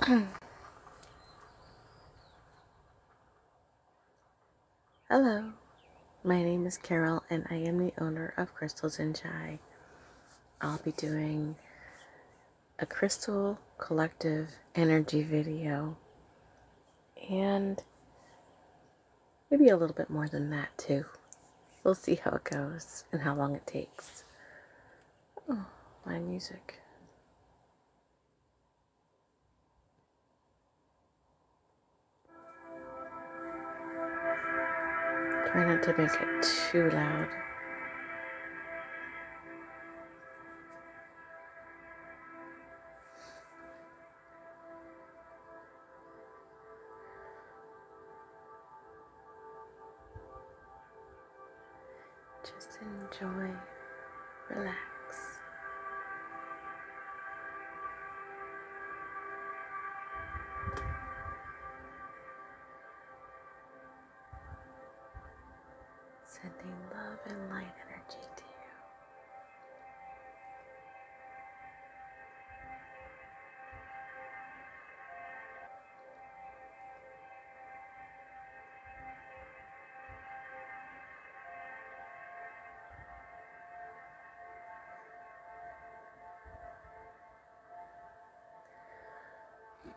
Hello, my name is Carol and I am the owner of Crystals and Chi. I'll be doing a crystal collective energy video and maybe a little bit more than that too. We'll see how it goes and how long it takes my music. Try not to make it too loud. Just enjoy, relax. Sending love and light energy to you.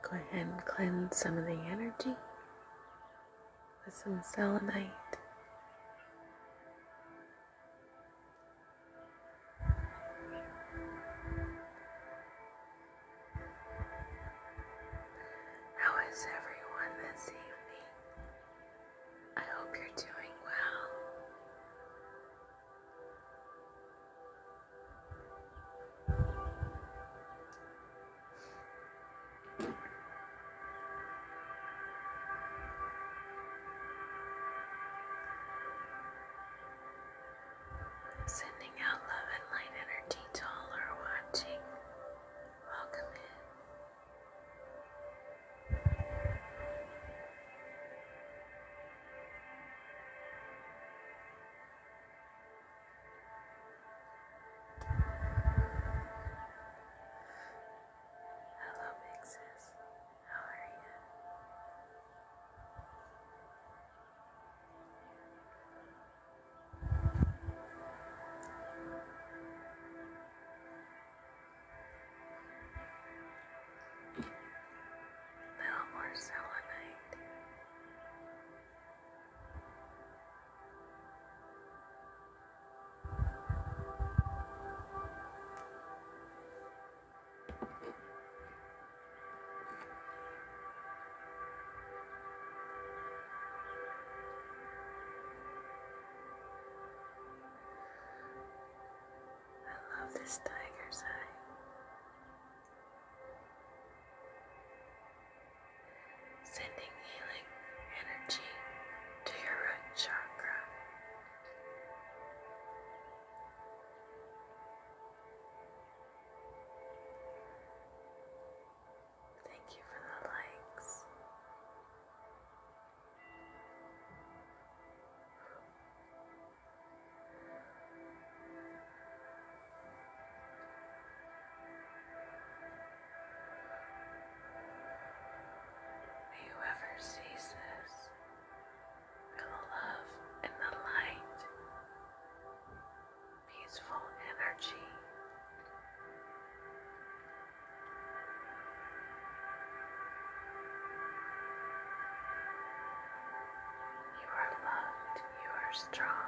Go ahead and cleanse some of the energy with some selenite. How is everyone this evening? I hope you're doing well. Sending out love and light energy to all who are watching. Welcome in. Hello, big sis. How are you? little more selenite. I love this tiger's eye. Sending healing energy to your root chakra. Thank you for the likes. May whoever sees this feel the love and the light peaceful energy. You are loved, you are strong.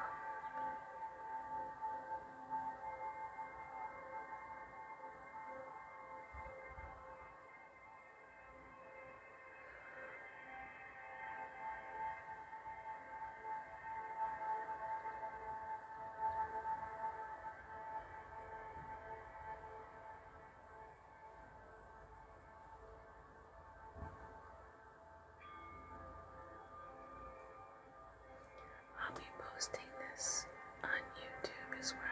I'll be posting this on YouTube as well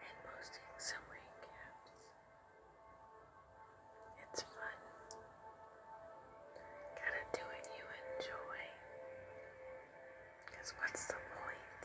and posting some rain recaps. It's fun. Gotta do it you enjoy. Because what's the point?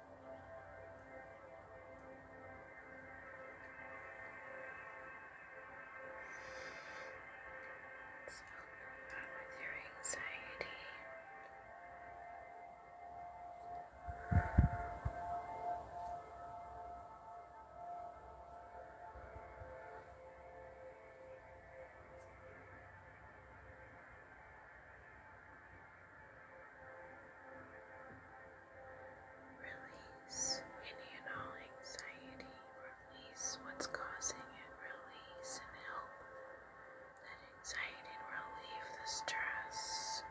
It's not with your anxiety. It's Release any and all anxiety. Release what's causing it. Release and help that anxiety relieve the stress.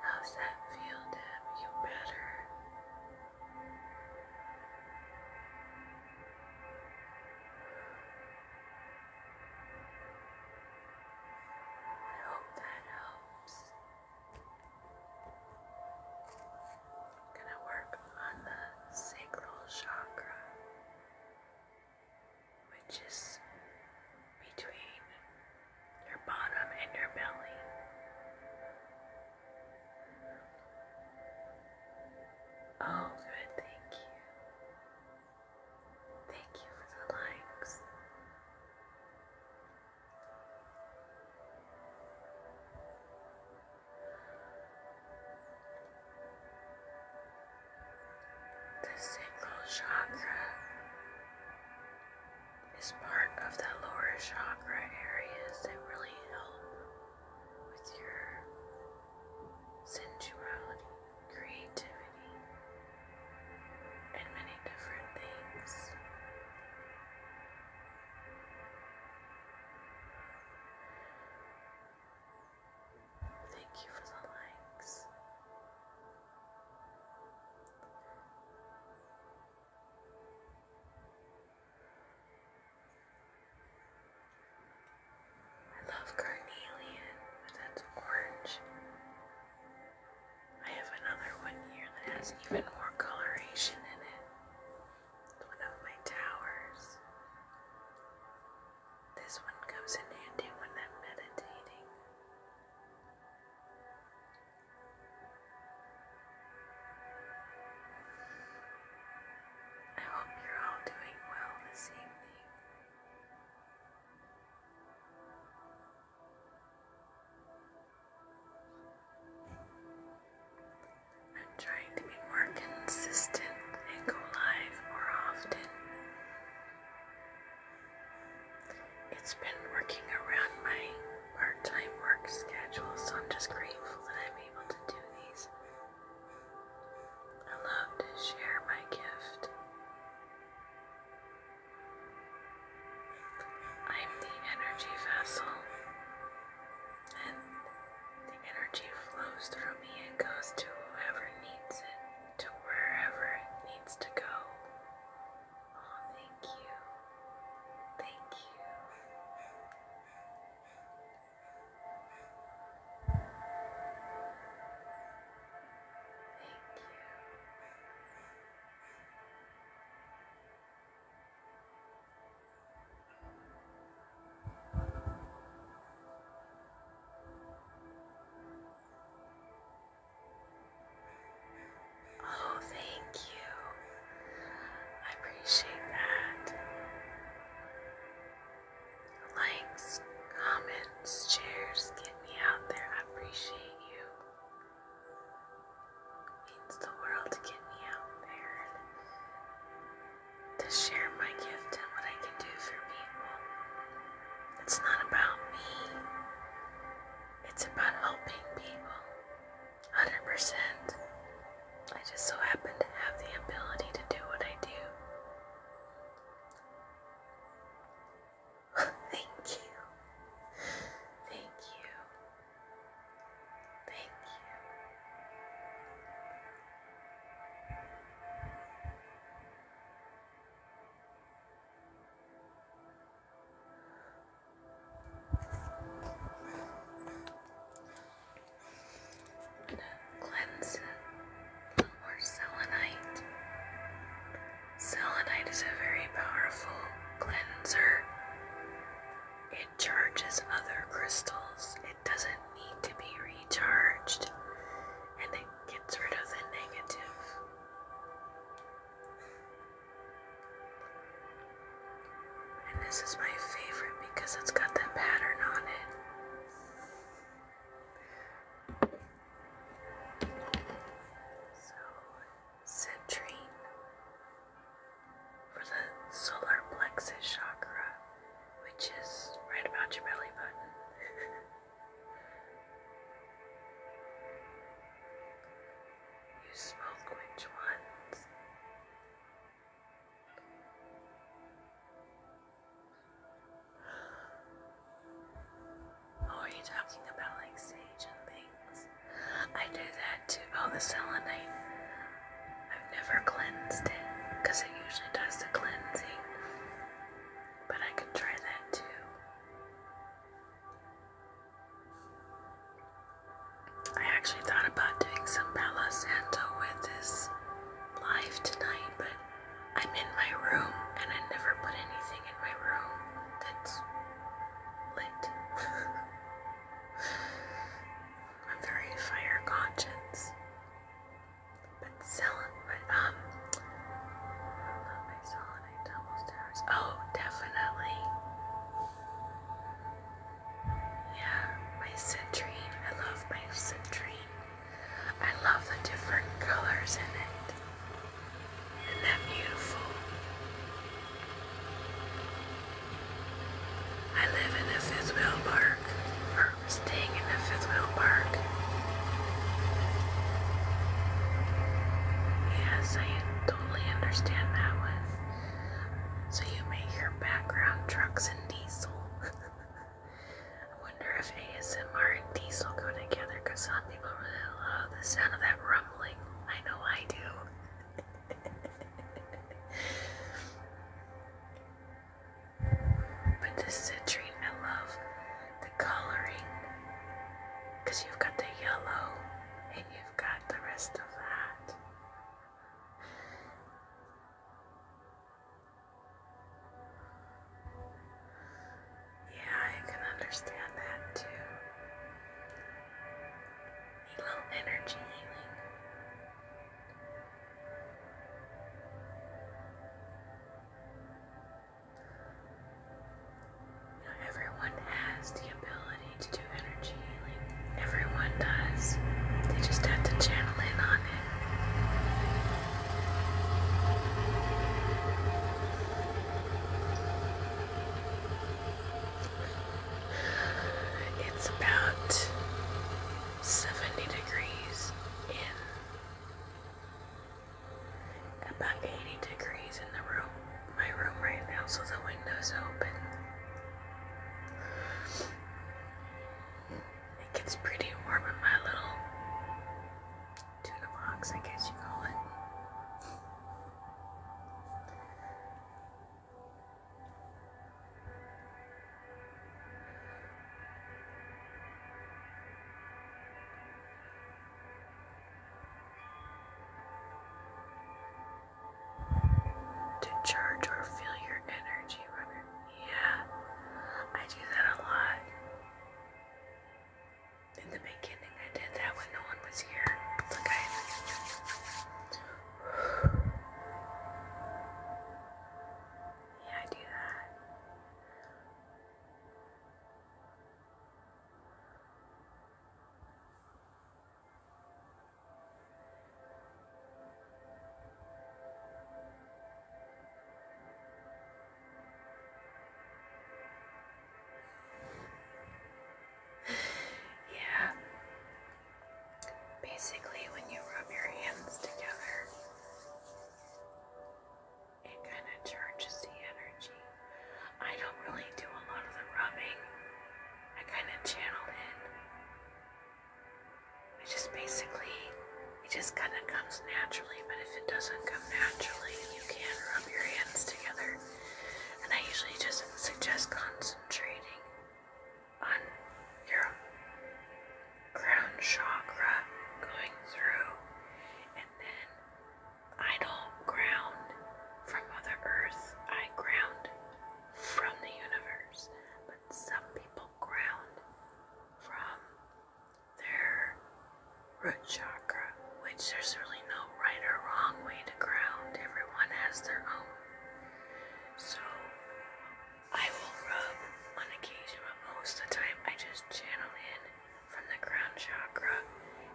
How's that feel, Deb? You better? I hope that helps. gonna work on the sacral chakra which is between your bottom and your belly. Oh, good, thank you. Thank you for the likes. The sacral chakra is part of the lower chakra areas that really help with your sensuality, creativity, and many different things. Thank you for the likes. I love carnelian, that's orange. I have another one here that has even more coloration in it. It's one of my towers. This one comes in handy when I'm meditating. I hope you're all doing well this evening. I'm trying to be more consistent and go live more often. It's been working around my part time work schedule, so I'm just grateful that I'm able to do these. I love to share my gift. I'm the energy vessel, and the energy flows through me and goes to whoever needs it to wherever it needs to go. Oh, thank you. Thank you. Thank you. Oh, thank you. I appreciate that. Likes, comments, shares, get me out there. I appreciate you. means the world to get me out there to share my gift and what I can do for people. It's not about me. It's about helping people. 100%. I just so happen to have the ability to do what I do. Thank you. Thank you. Thank you. Cleanse it. selenite. Selenite is a very powerful cleanser. It charges other crystals. It doesn't need to be recharged. And it gets rid of the And this is my favorite because it's got that pattern on it. So, citrine for the solar plexus chakra, which is right about your belly button. You spoke which ones? Oh, are you talking about like sage and things? I do that too. Oh, the selenite. I've never cleansed it because it usually does the cleansing. But I could try that too. I actually thought about doing some Palo Santo with this live tonight, but I'm in my room and I never put anything in my room that's lit. I'm very fire conscious been selling but um selling double stars. Oh, definitely. Yeah, my citrine. I love my citrine. I love the different colors in it. Isn't that beautiful? I live in a Fitzwill Park, or staying in a Fitzwill Park. Yes, I totally understand that one. So you may hear background trucks and diesel. I wonder if ASMR and diesel go together some people really love the sound of that rumbling. I know I do. but this citrine, I love the coloring because you've got the yellow and you've got the rest of that. Yeah, I can understand that too. a little energy healing everyone has the ability to do energy healing. Everyone does. They just have to channel in on it. It's about 70 degrees in about 80 degrees in the room, my room right now, so the window's open. It gets pretty warm in my little tuna box, I guess you call it. To charge or feel your energy runner. Yeah, I do that a lot. In the beginning, I did that when no one was here. Like Yeah, I do that. yeah. Basically, when you rub your hands together, it kind of charges the energy. I don't really do a lot of the rubbing, I kind of channel in. It just basically, it just kind of comes naturally, but if it doesn't come naturally, you can rub your hands together. And I usually just suggest concentrating on your crown chakra going through and then I don't ground from Mother Earth, I ground from the universe. But some people ground from their root chakra, which there's really no right or wrong way to ground. Everyone has their own. So I will rub on occasion, but most of the time I just channel in from the crown chakra,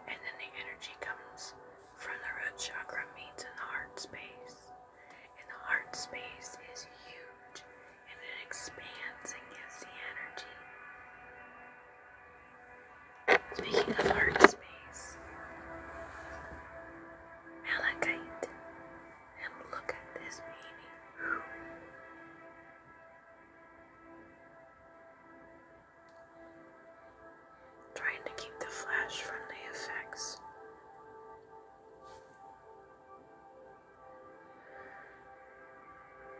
and then the energy comes from the root chakra, meets in the heart space. And the heart space is huge and it expands and gives the energy. Speaking of heart space, malachite, and look at this baby. Trying to keep the flash from the effects.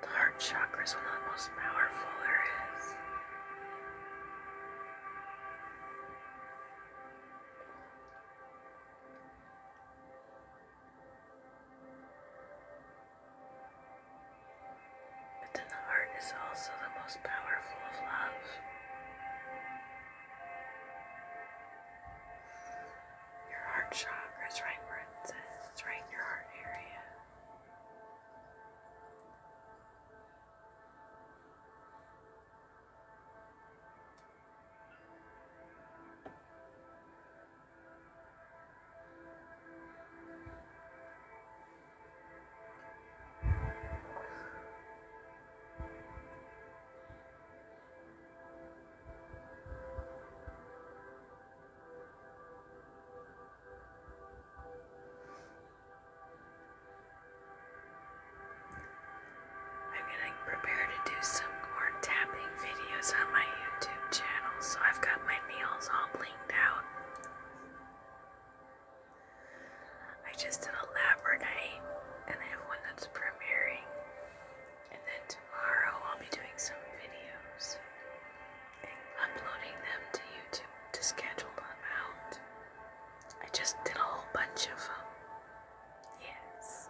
The heart chakra is one of the most powerful there is. But then the heart is also the most powerful of love. Your heart chakra is right where it says, it's right in your heart area. I'm gonna prepare to do some more tapping videos on my YouTube channel, so I've got my nails all bleached blinged I just did a labradite and I have one that's premiering. And then tomorrow I'll be doing some videos uploading them to YouTube to schedule them out. I just did a whole bunch of them. Yes.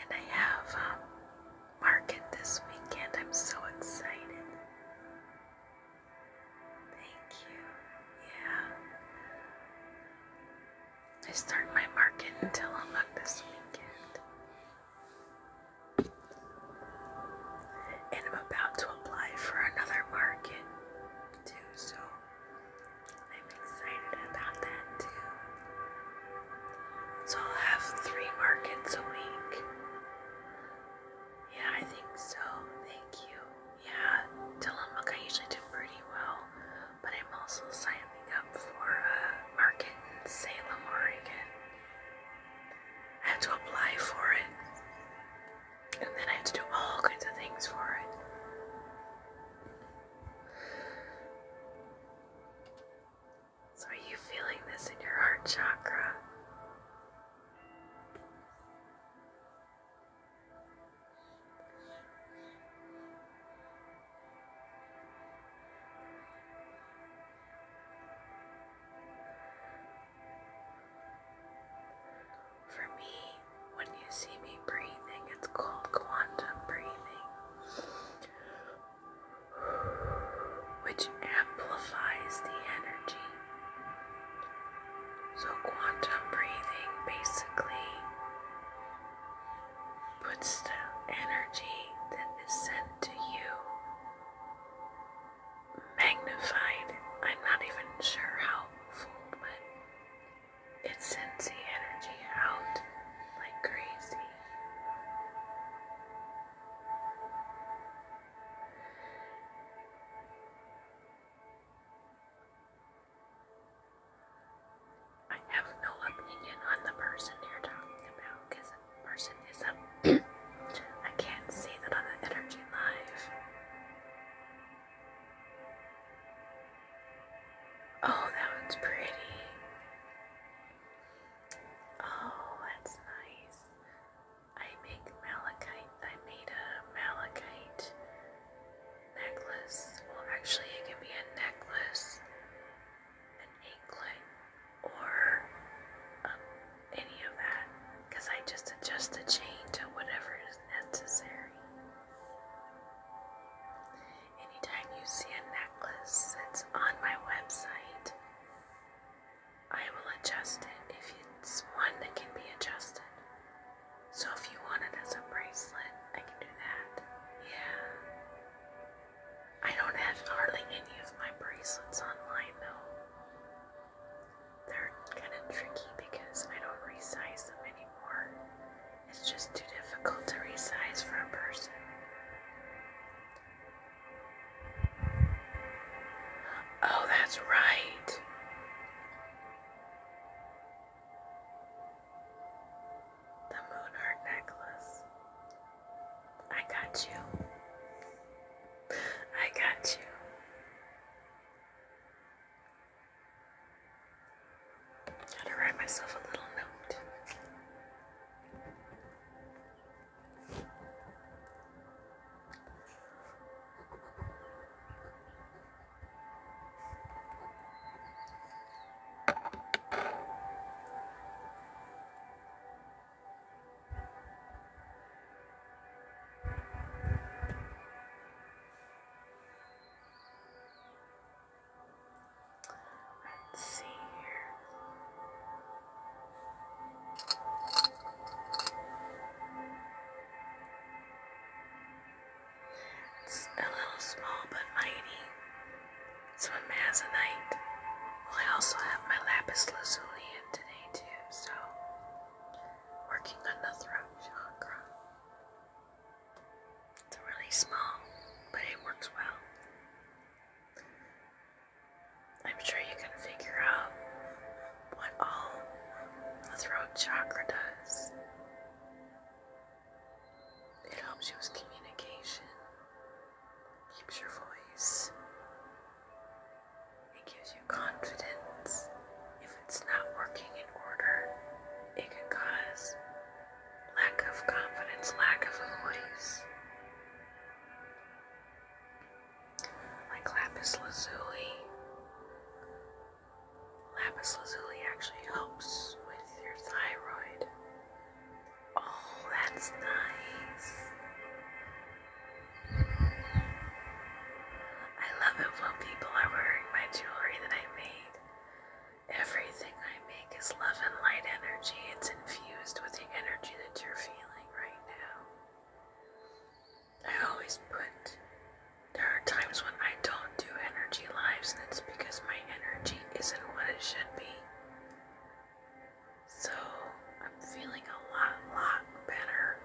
And I have um, market this weekend. I'm so excited. Thank you. Yeah. I start my market in Tillamook this weekend. And I'm about to apply for another market too, so I'm excited about that too. So I'll have three markets a week. Yeah, I think so. Thank you. Yeah, Tillamook, I usually do pretty well, but I'm also signing up for a market in Salem, Oregon. I have to apply for it, and then I have to do all kinds of things for it. So, are you feeling this in your heart chakra? For me, when you see me breathing, it's called quantum breathing, which amplifies the energy. So, quantum breathing basically puts the energy that is sent to you magnified. I'm not even sure how full, but it sends the energy out like crazy. I have no opinion on the person you're talking about because the person is a. I can't see that on the energy live. Oh, that one's pretty. Oh, that's nice. I make malachite. I made a malachite necklace. Well, actually, it can be a necklace, an anklet, or um, any of that. Because I just adjust the chain to whatever is necessary. Anytime you see a necklace that's on my website, I will adjust it if it's one that can be adjusted. So if you want it as a bracelet, I can do that. Yeah. I don't have hardly any of my bracelets online though. They're kind of tricky because I don't resize them anymore. It's just too difficult to resize for a person. Oh, that's right. The moon heart necklace. I got you. I got you. Gotta write myself a little note. Let's see here. It's a little small but mighty. So amazonite. Well, I also have my lapis lazuli in today too, so working on the throat chakra. It's really small, but it works well. I'm sure you can figure out what all the throat chakra does. It helps you with communication, keeps your voice, it gives you confidence. If it's not working in order, it can cause lack of confidence, lack of a voice. Like lapis lazuli. Lapis lazuli actually helps with your thyroid. Oh, that's nice. I love it when people are wearing my jewelry that I made. Everything I make is love and light energy. It's infused with the energy that you're feeling right now. I always put, there are times when I don't do energy lives, and it's because my energy isn't what it should be. So I'm feeling a lot, lot better.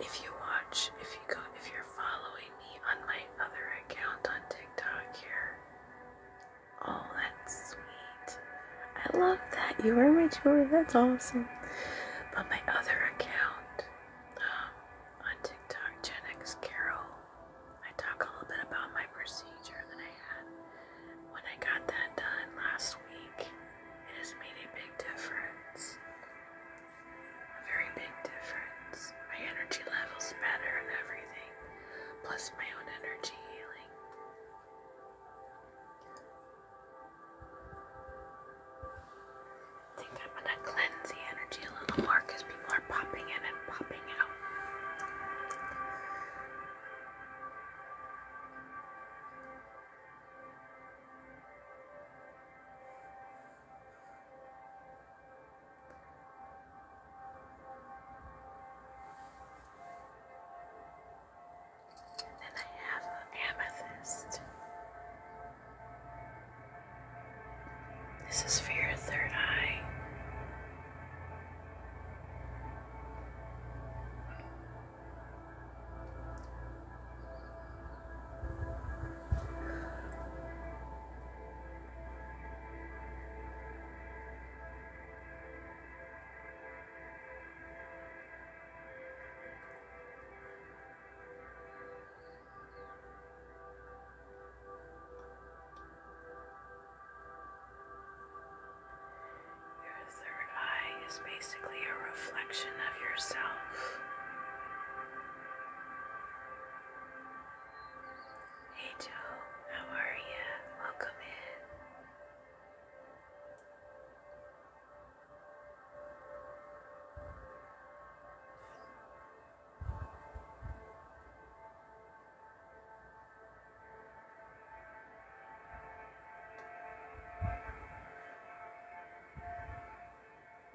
If you watch, if you go, if you're following me on my other account on TikTok here, oh, that's sweet. I love that. You are my tour. That's awesome. But my other account um, on TikTok, Gen Carol, I talk a little bit about my procedure that I had when I got that done last week. It has made a big difference. A very big difference. My energy levels better in everything, plus my own energy healing. I think I'm gonna cleanse the energy a little more because people are popping in and popping out. And then I have an amethyst. This is for your third eye. Your third eye basically a reflection of yourself. Hey Joe, how are you? Welcome in.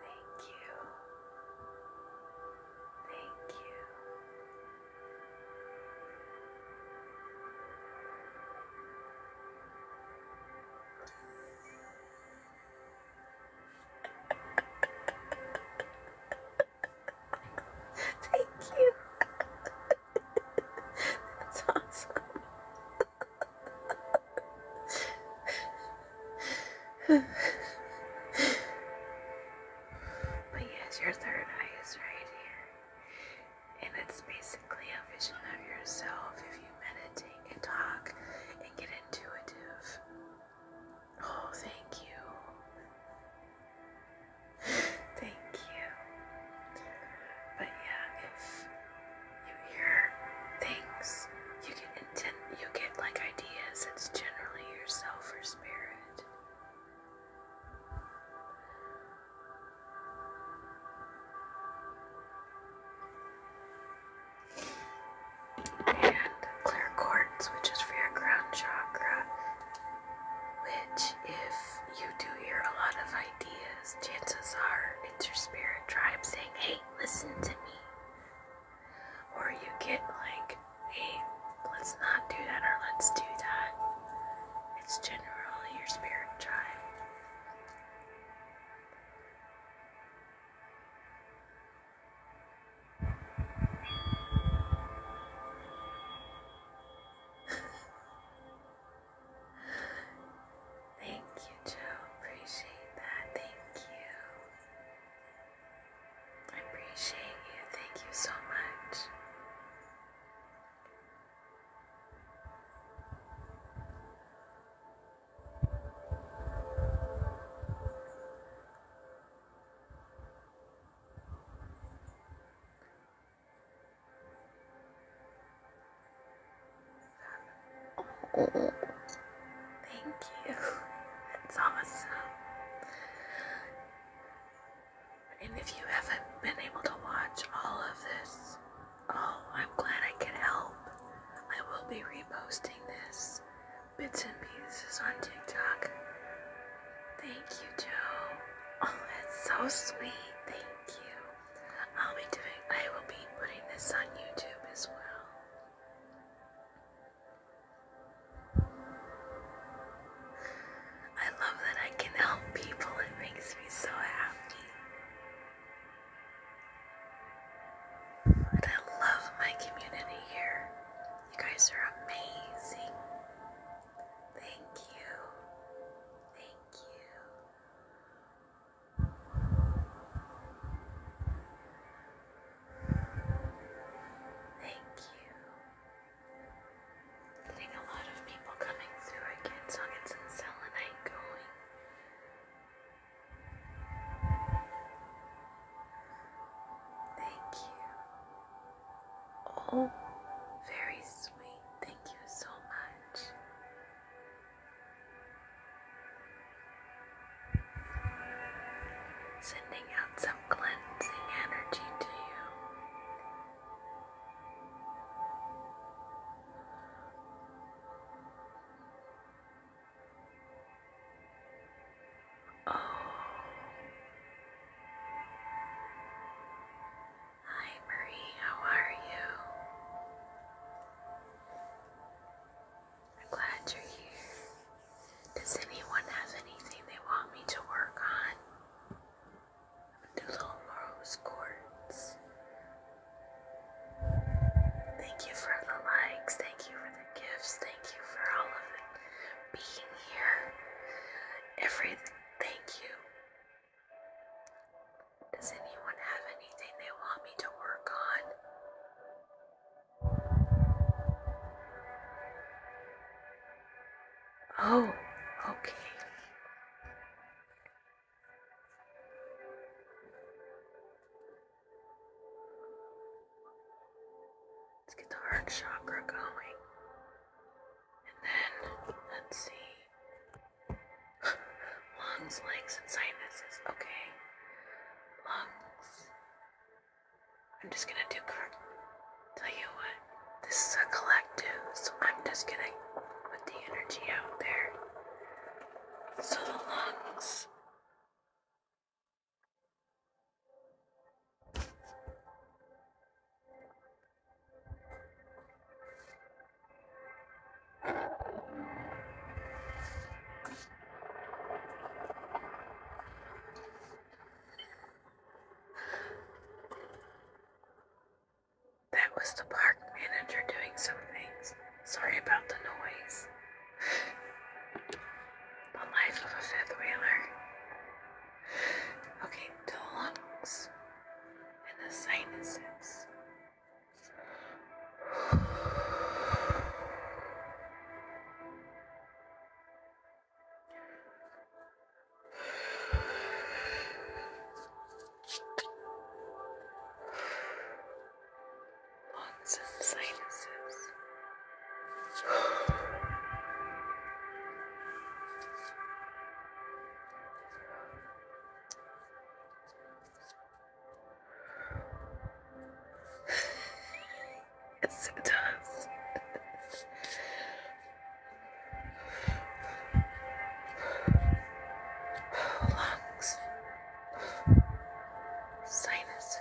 Thank you. Thank you. Thank you. That's awesome but yes, your third eye is right here. And it's basically a vision of yourself if you meditate and talk and get intuitive. Oh, thank you. Thank you. But yeah, if you hear things, you get intent, you get like ideas. It's generally yourself or spirit. And clear quartz, which is for your crown chakra. Which, if you do hear a lot of ideas, chances are it's your spirit tribe saying, Hey, listen to me. Or you get like, hey, let's not do that or let's do that. It's generally your spirit child. Thank you, Joe. Appreciate that. Thank you. I appreciate you. Thank you so much. Oh, thank you. It's awesome. And if you haven't been able to watch all of this, oh, I'm glad I could help. I will be reposting this bits and pieces on TikTok. Thank you, Joe. Oh, that's so sweet. Thank you. I'll be doing, I will be putting this on YouTube as well. I love that I can help people, it makes me so happy. And I love my community here. You guys are amazing. Thank you. Thank you. Thank you. Getting a lot of people coming through again, so I'll get some going. Thank you. Oh, very sweet. Thank you so much. Sending out some cleansing energy to you. Oh, hi Marie, how are you? I'm glad you're here. Does anyone have anything they want me to work on? I'm gonna do little rose quartz. Thank you for the likes. Thank you for the gifts. Thank you for all of being here. Every thank you. Does anyone have anything they want me to work on? Oh, okay. Let's get the heart chakra going. And then, let's see. Lungs, legs, and sinuses. Okay. Lungs. I'm just gonna do. Tell you what, this is a collective, so I'm just gonna put the energy out there. So the lungs. That was the park manager doing some things. Sorry about the noise. the life of a fifth wheeler. Okay, the lungs and the sinuses. Lungs and sinuses. yes, it does. Lungs, sinuses.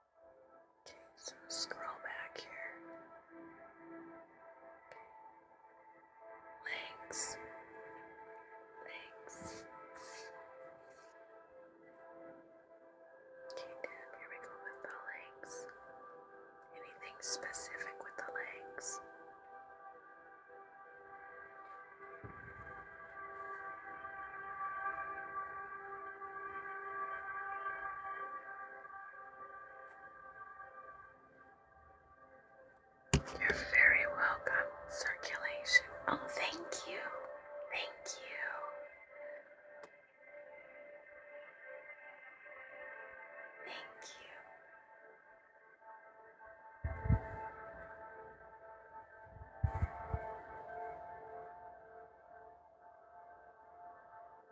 Okay, so scroll back here. Okay. Legs. Legs. Okay, good. Here we go with the legs. Anything specific with the legs? Okay, you're very welcome, circulation. Oh, thank you. Thank you. Thank you.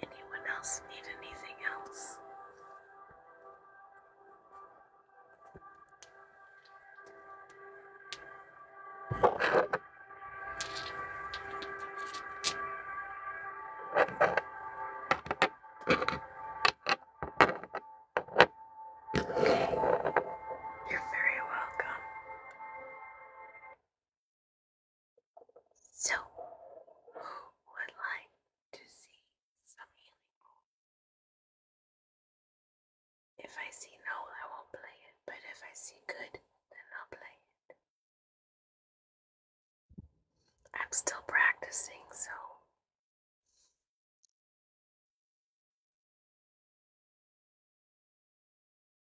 Anyone else need anything else? You're very welcome. So, who would like to see some healing If I see no, I won't play it, but if I see good, then I'll play it. I'm still practicing, so.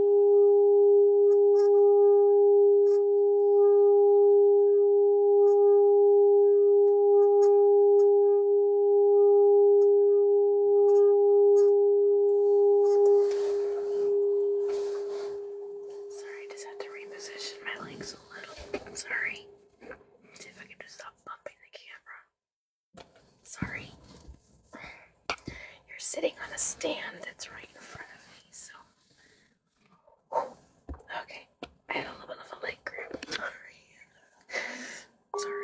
Sorry, I just had to reposition my legs a little. Sorry. see if I can just stop bumping the camera. Sorry. You're sitting on a stand that's right in front of me, so. Okay, I had a little bit of a leg grab. Sorry. Sorry.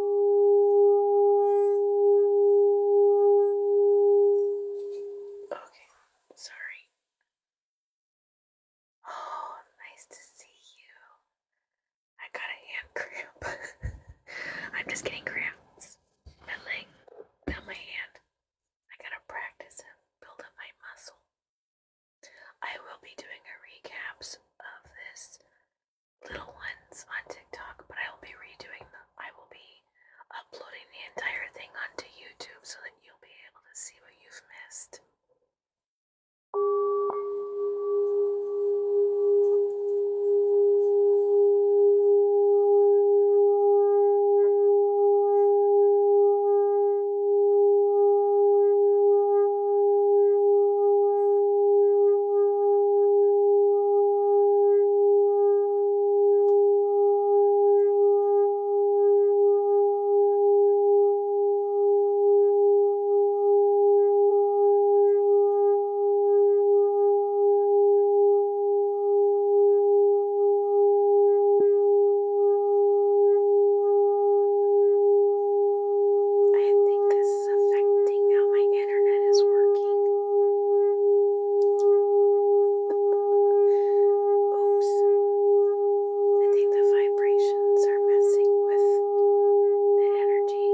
Okay, sorry. Oh, nice to see you. I got a hand cramp. I'm just getting cramps. My leg, my hand. I gotta practice and build up my muscle. I will be doing a recaps of this little ones on TikTok, but I will be redoing them. I will be uploading the entire thing onto YouTube so that you'll be able to see what you've missed. I think this is affecting how my internet is working. Oops. I think the vibrations are messing with the energy.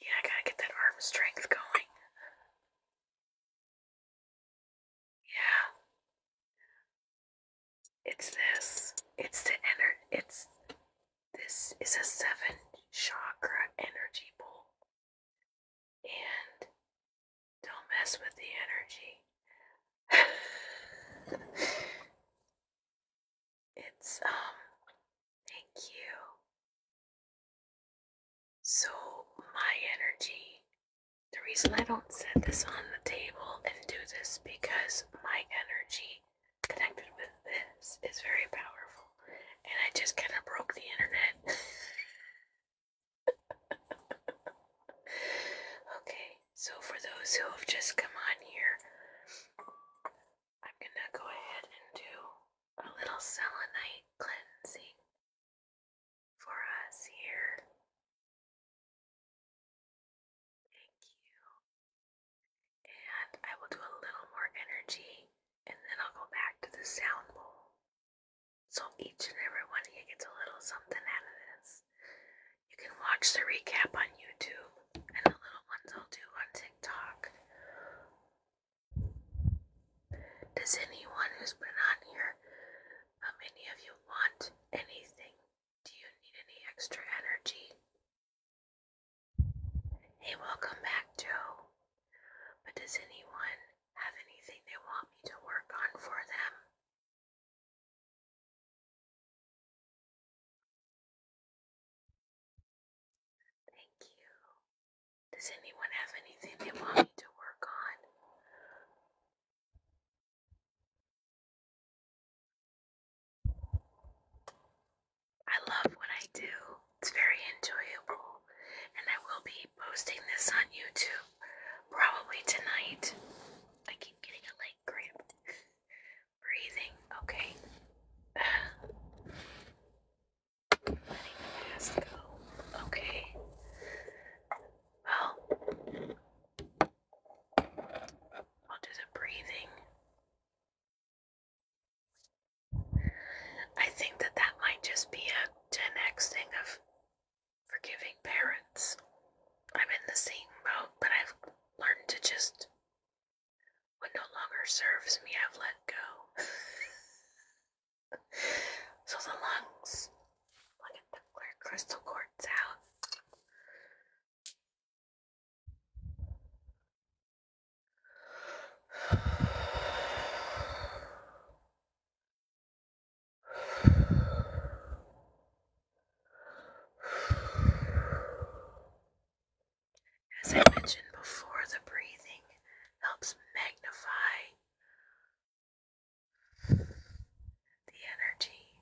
Yeah, I gotta get that arm strength going. Yeah. It's this. It's the ener it's this is a seven chakra energy pool, And don't mess with the energy. It's, um, thank you. So, my energy, the reason I don't set this on the table and do this because my energy connected with this is very powerful. And I just kind of broke the internet. okay, so, for those who have just come on here, I'm gonna go ahead and do a little selenite cleansing for us here. Thank you. And I will do a little more energy and then I'll go back to the sound bowl. So each and every one of you gets a little something out of this. You can watch the recap on YouTube and the little ones I'll do on TikTok. Does anyone who's been on here, um, any of you want anything? Do you need any extra energy? Hey, welcome back, Joe. But does anyone have anything they want me to work on for them? Thank you. Does anyone have anything they want me to work on? I love what I do. It's very enjoyable. And I will be posting this on YouTube probably tonight. I keep getting a leg cramp. breathing, okay? Letting the go, okay? Well, I'll do the breathing. I think that that might just be a 10x thing of forgiving parents. I'm in the same boat, but I've learned to just what no longer serves me, I've let go. so the lungs. Look at the clear crystal quartz out. As I mentioned before, the breathing helps magnify the energy.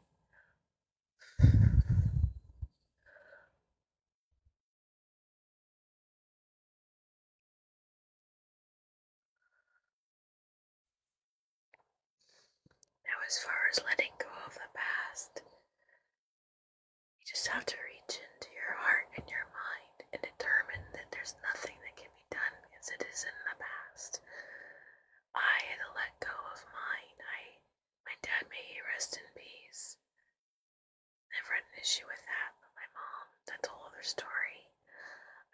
Now, as far as letting go of the past, you just have to reach into your heart and your mind and determine that there's nothing that can be done as it is in the past. I had to let go of mine. I, my dad may he rest in peace. Never had an issue with that, but my mom, that's a whole other story.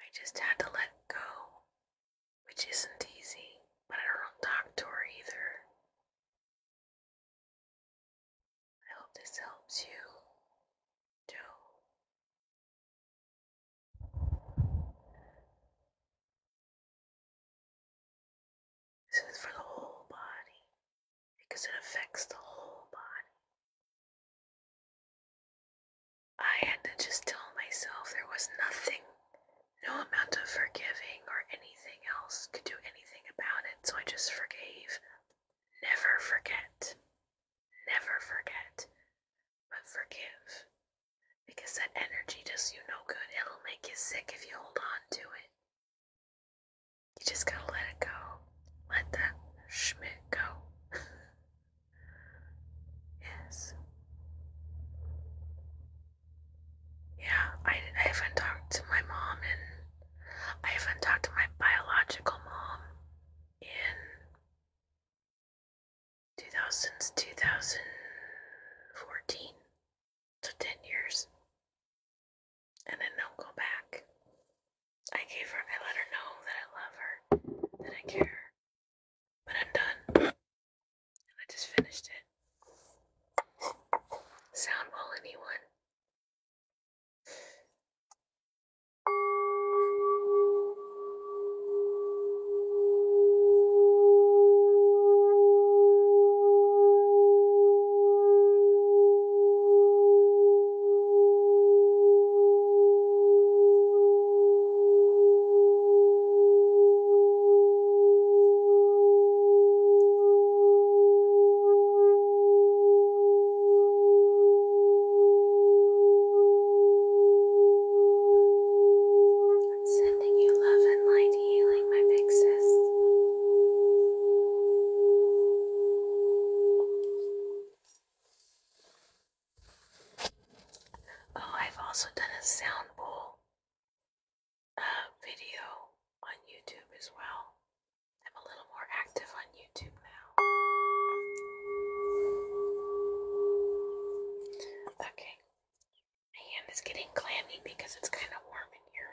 I just had to let go, which isn't easy, but I don't talk to her either. I hope this helps you to This is for the whole body because it affects the whole body. I had to just tell myself there was nothing no amount of forgiving or anything else could do anything about it, so I just forgave. Never forget. Never forget. But forgive. Because that energy does you no good. It'll make you sick if you hold on to it. You just gotta let it go. Let that schmidt go. yes. Yeah, I, I haven't talked to my mom and I haven't talked to my biological mom in 2000 2014. So 10 years. And then don't go back. I gave her, I let her know that I love her, that I care. But I'm done. I just finished it. Sound wall, anyone? I'm sending you love and light healing, my big sis. Oh, I've also done a sound bowl uh, video on YouTube as well. I'm a little more active on YouTube now. Okay. My hand is getting clammy because it's kind of warm in here.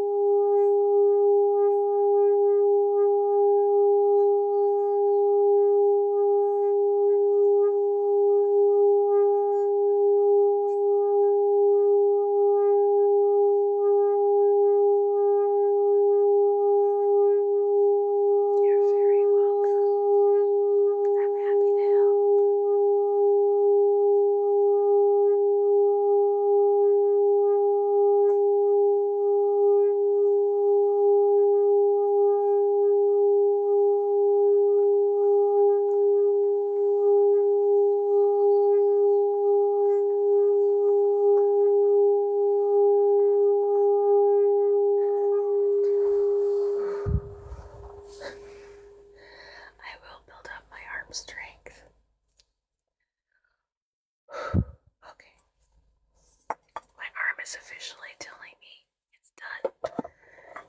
You're very welcome. I'm happy to help. I will build up my arm strength okay. My arm is officially telling me it's done.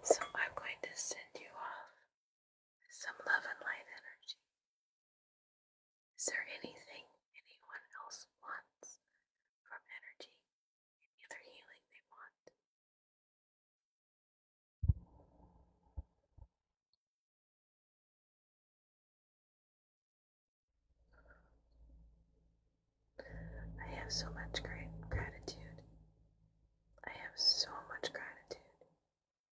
So I'm going to send you off some love and light energy. Is there anything anyone else wants from energy? Any healing they want? I have so much great gratitude. I have so much gratitude.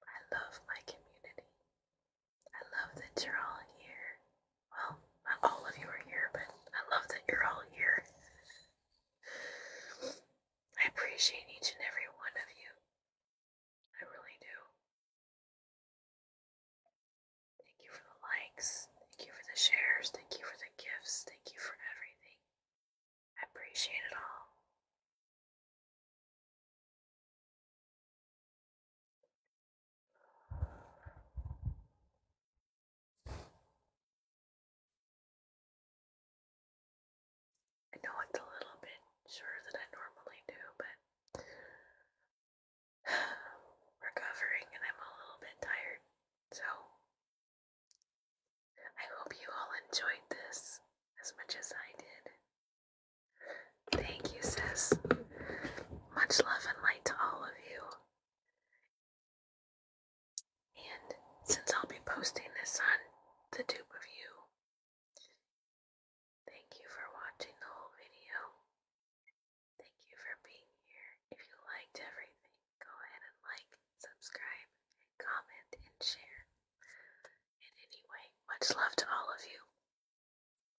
I love my community. I love that you're all here. Well, not all of you are here, but I love that you're all here. I appreciate each and every one of you. I really do. Thank you for the likes. Thank you for the shares. Thank you for the gifts. Thank you for everything. I appreciate it all. I know it's a little bit shorter than I normally do, but recovering and I'm a little bit tired. So I hope you all enjoyed this as much as I did. Thank you, sis. Much love and light to all of you. And since I'll be posting this on the tube review. Thank you for watching the whole video. Thank you for being here. If you liked everything, go ahead and like, subscribe, comment, and share. And anyway, much love to all of you.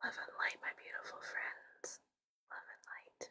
Love and light, my beautiful friends. Love and light.